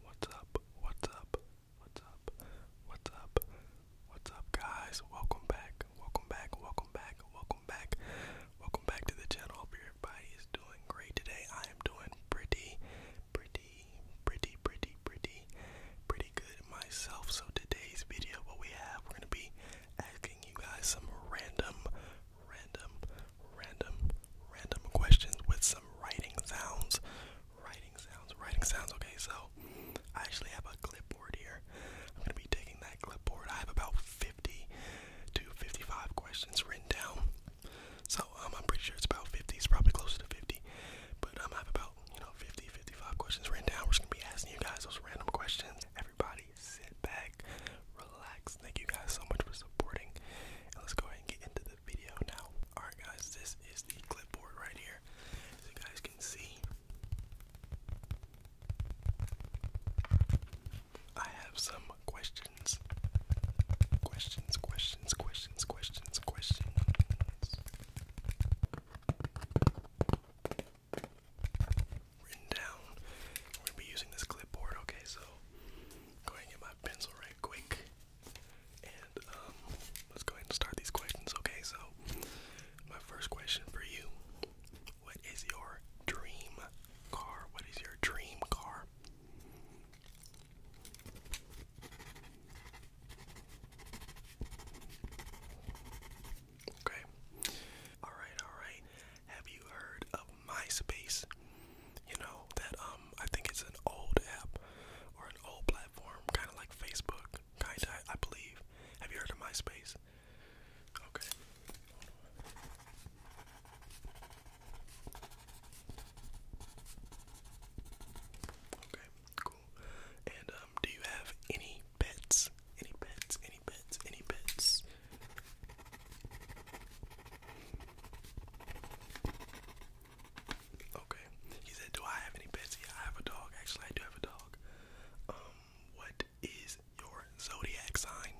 What's up? What's up? What's up? What's up? What's up, guys? Welcome back. Welcome back. Welcome back. Welcome back. Welcome back to the channel. Hope everybody is doing great today. I am doing pretty, pretty, pretty, pretty, pretty, pretty good myself. So today's video, what we have, we're gonna be asking you guys some random, random, random, random questions with some writing sounds, writing sounds, writing sounds. Okay, so I actually have a clipboard here. I'm gonna be taking that clipboard. I have about 50 to 55 questions written down. So um, I'm pretty sure it's about 50. It's probably closer to 50. But um, I have about you know 50, 55 questions written down. We're just gonna be asking you guys those random questions. Everybody, sit back, relax. Thank you guys so much for supporting. And let's go ahead and get into the video now. All right, guys, this is the clipboard right here. As you guys can see, I have some questions. Questions, questions, questions, questions, questions. Written down. We're gonna be using this clipboard, okay, so I'm going to get my pencil right quick. And um let's go ahead and start these questions, okay? So my first question for you. What is your dream car? What is your dream car? Okay. Alright, alright. Have you heard of MySpace? You know, that um I think it's an old app or an old platform, kinda like Facebook. kind I believe. Have you heard of MySpace? Okay. Okay, cool. And um, do you have any pets? Any pets? Any pets? Any pets? Okay. He said, "Do I have any pets?" I have a dog. Actually, I do have a dog. Um, what is your zodiac sign?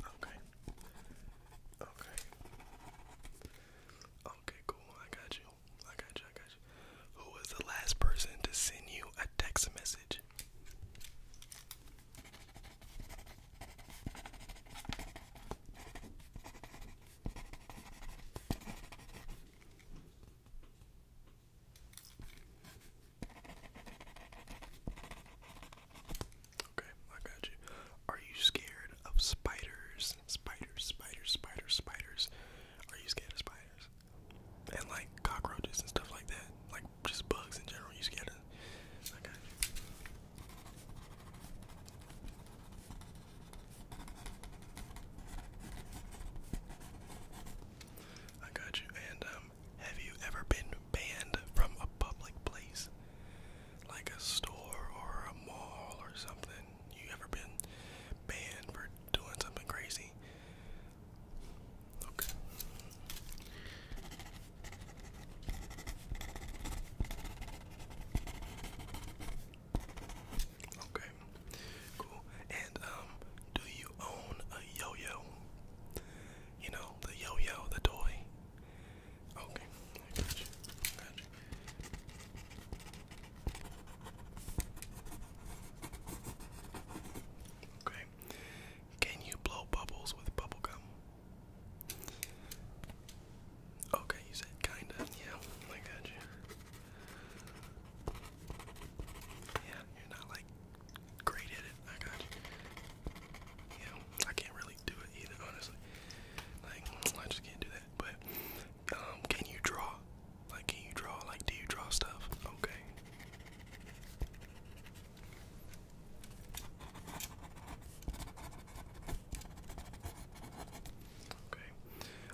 Okay. Okay. Okay, cool. I got you. I got you. I got you. Who was the last person to send you a text message? Okay, I got you. Are you scared of spiders? Spiders, spiders, spiders, spiders. Are you scared of spiders? And like cockroaches and stuff like that. Like just bugs in general. You scared of? I got you. I got you. And um, have you ever been banned from a public place, like a store or a mall or something? You ever been banned for doing something crazy? Okay. Okay, cool. And um, do you own a yo-yo? You know the yo-yo, the toy. Okay, I got you. Got you. Okay. Can you blow bubbles with bubble gum? Okay, you said kinda. Yeah, I got you. Yeah, you're not like great at it. I got you. Yeah, I can't really do it either, honestly. Like, I just can't do that. But, um, can you draw? Like, can you draw? Like, do you draw stuff? Okay. Okay.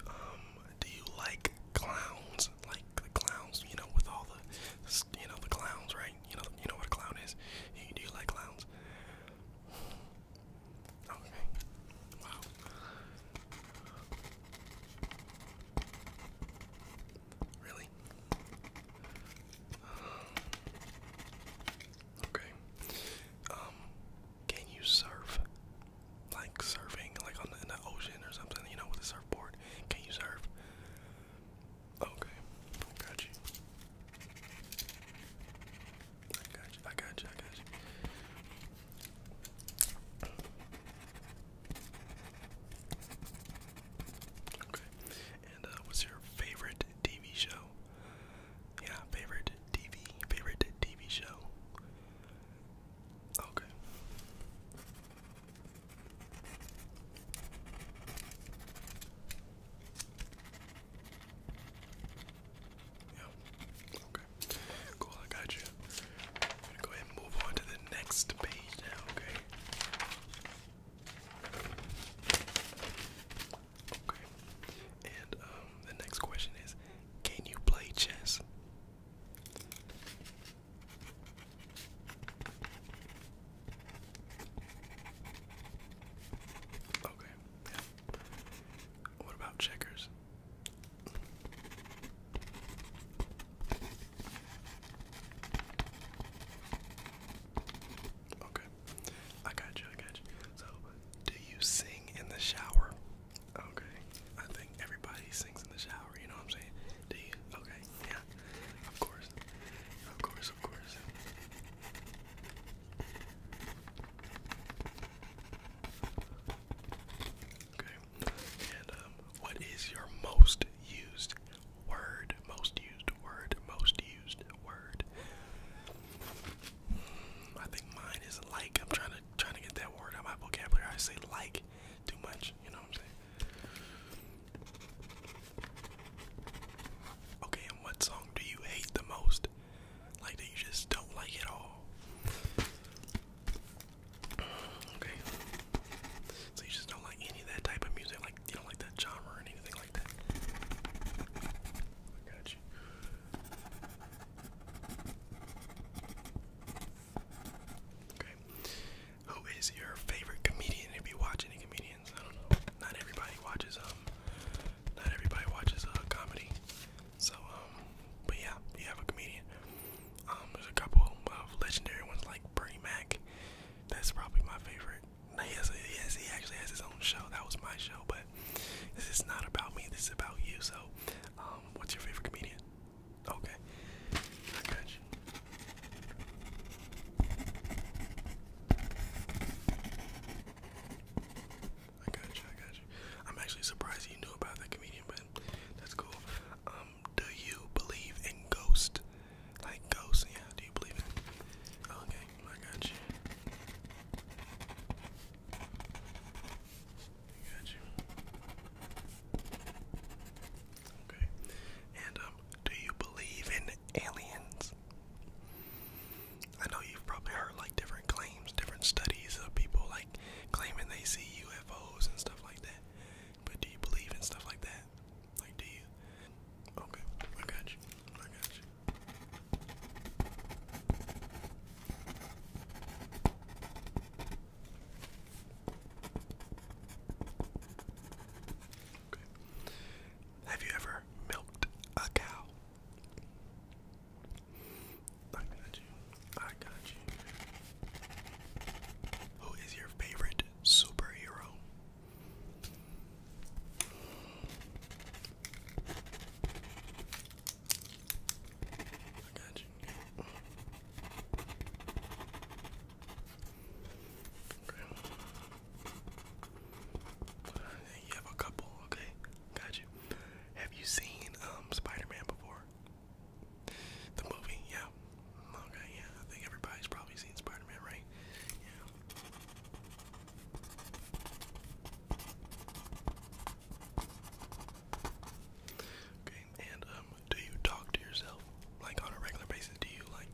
Um, do you like clowns? Like the clowns, you know, with all the, you know, the clowns, right? You know, you know what a clown is. Do you like clowns? Okay. Wow. Really? Um, okay. Um, can you surf? Like surfing, like on the, ocean or something, you know, with a surfboard. Can you surf? Okay, got you. I got you. I got you. Okay. And uh, what's your favorite TV show? Yeah, favorite TV, favorite TV show. Okay. Yeah. Okay. Cool, I got you. go ahead and move on to the next page now, okay? Okay. And um, the next question is, can you play chess? Okay. What about checkers? Okay. I got you, So, do you sing in the shower? Okay. I think everybody sings in the shower, you know what I'm saying? Do you? Okay, yeah. Of course. Of course, of course. Okay. And um, what is your most used word? Most used word, most used word. I think mine is like. I'm trying to trying to get that word out of my vocabulary. I say like too much. You know what I'm saying? Okay, and what song do you hate the most? Like that you just don't like at all. Okay. So you just don't like any of that type of music, like you don't like that genre or anything like that. I got Okay. Who is your favorite comedian? If you watch any comedians, I don't know. Not everybody watches um not everybody watches uh comedy. So um but yeah, you have a comedian. Um there's a couple of legendary ones like Bernie Mac. That's probably my favorite. He yes, he actually has his own show. That was my show, but this is not about me. This is about you. So, um, what's your favorite comedian? Okay, I got you. I got you. I am actually surprised you knew about that comedian, but that's cool. Um, do you believe in ghosts? Like ghosts? Yeah. Do you believe in? Okay. I got you. I got you. Okay. And um, do you believe in aliens? I know you've probably heard like different claims, different studies of people like claiming they see UFOs and stuff like that. But do you believe in stuff like that? Like, do you? Okay, I got you. I got you. Okay. Have you ever milked a cow? I got you. I got you. Who is your favorite superhero? got you. Okay. You have a couple, okay? Got you. Have you seen um Spider-Man before? The movie, yeah. Okay, yeah. I think everybody's probably seen Spider-Man, right? Yeah. Okay, and um, do you talk to yourself like on a regular basis? Do you like,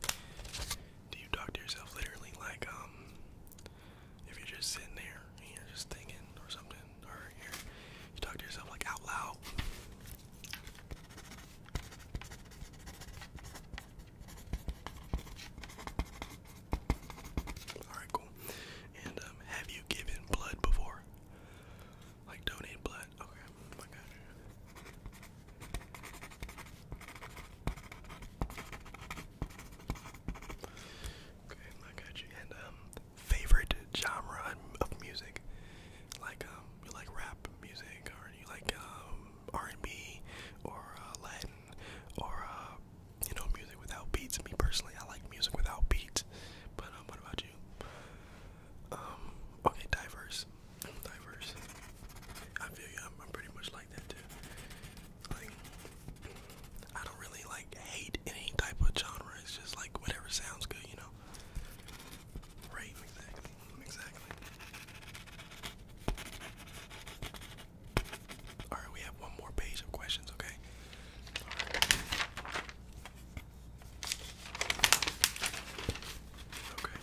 do you talk to yourself literally like um, if you're just sitting there and you're just thinking or something, or you you talk to yourself like out loud? Alright, cool. And um, have you given blood before? Like donate blood? Okay, my gosh. Okay, I got And um, favorite genre of music? Like um, you like rap music, or you like R&B or uh, Latin or uh, you know music without beats. Me personally, I like music without beats. But um, what about you? Um, okay, diverse, i diverse. I feel you. I'm, pretty much like that too. Like, I don't really like hate any type of genre. It's just like whatever sounds good, you know. Right, exactly. All right, we have one more page of questions, okay? Okay.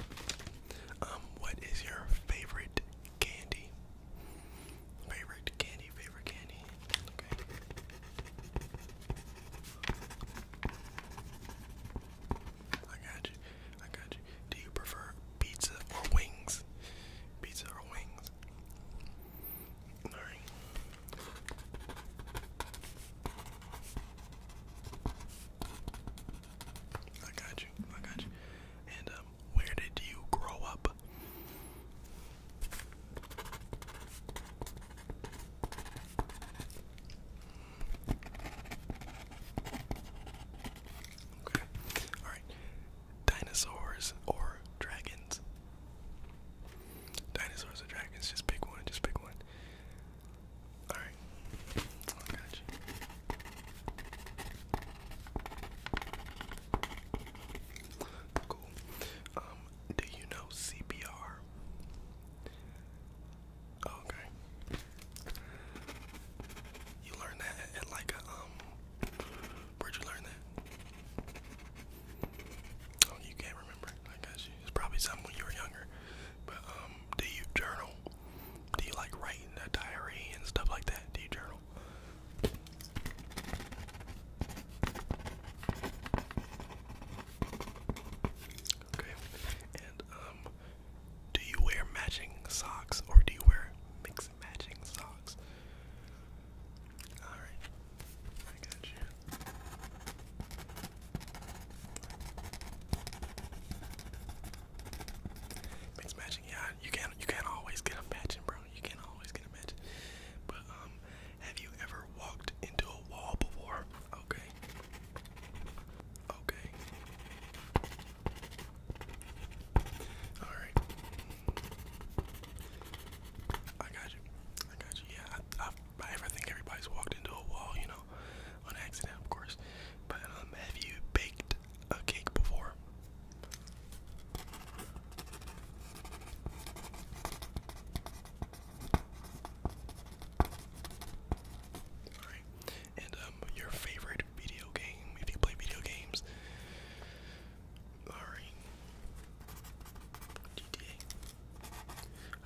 Um, what is your favorite candy? Favorite candy, favorite candy. Okay. I got you. I got you. Do you prefer pizza or wings? Pizza or wings? I got you. I got you. And um, where did you grow up? Okay. Alright. Dinosaurs or dragons? Dinosaurs or dragons? Just pick one. Just pick one. Alright. Cool. Um, do you know CPR? Oh, okay. You learned that at, like a um. Where'd you learn that? Oh, you can't remember. I guess It's probably something when you were younger. But um, do you journal? Do you like write a diary and stuff like that? Do you journal? Okay. And um do you wear matching socks or do you wear mixed matching socks? Alright. I got you. Mixed matching, yeah, you can't you can't always get a matching, bro. You can't always get a matching. But um have you ever walked into a wall before? Okay. Okay. All right. I got you. I got you. Yeah, I, ever think everybody's walked into a wall, you know, on accident, of course. But um, have you baked a cake before? Alright. And um, your favorite video game, if you play video games. Alright. GTA.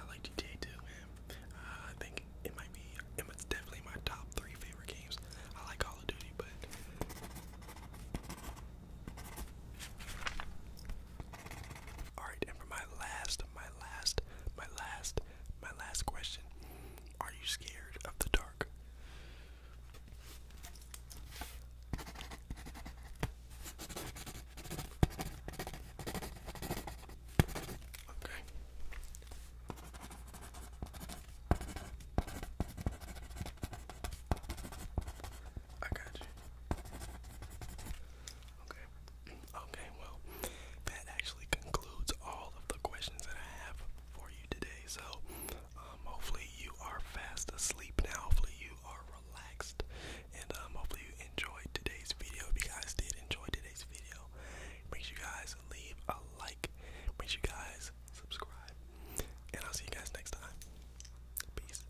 I like GTA too, man. Uh, I think it might be it's definitely my top three favorite games. I like Call of Duty, but all right, and for my last, my last, my last, my last question: Are you scared of the dark? Okay. I got you. Okay. Okay, well, that actually concludes all of the questions that I have for you today. So, um, hopefully, you are fast asleep now. Hopefully, you are relaxed. And um, hopefully, you enjoyed today's video. If you guys did enjoy today's video, make sure you guys leave a like. Make sure you guys subscribe. And I'll see you guys next time. Peace.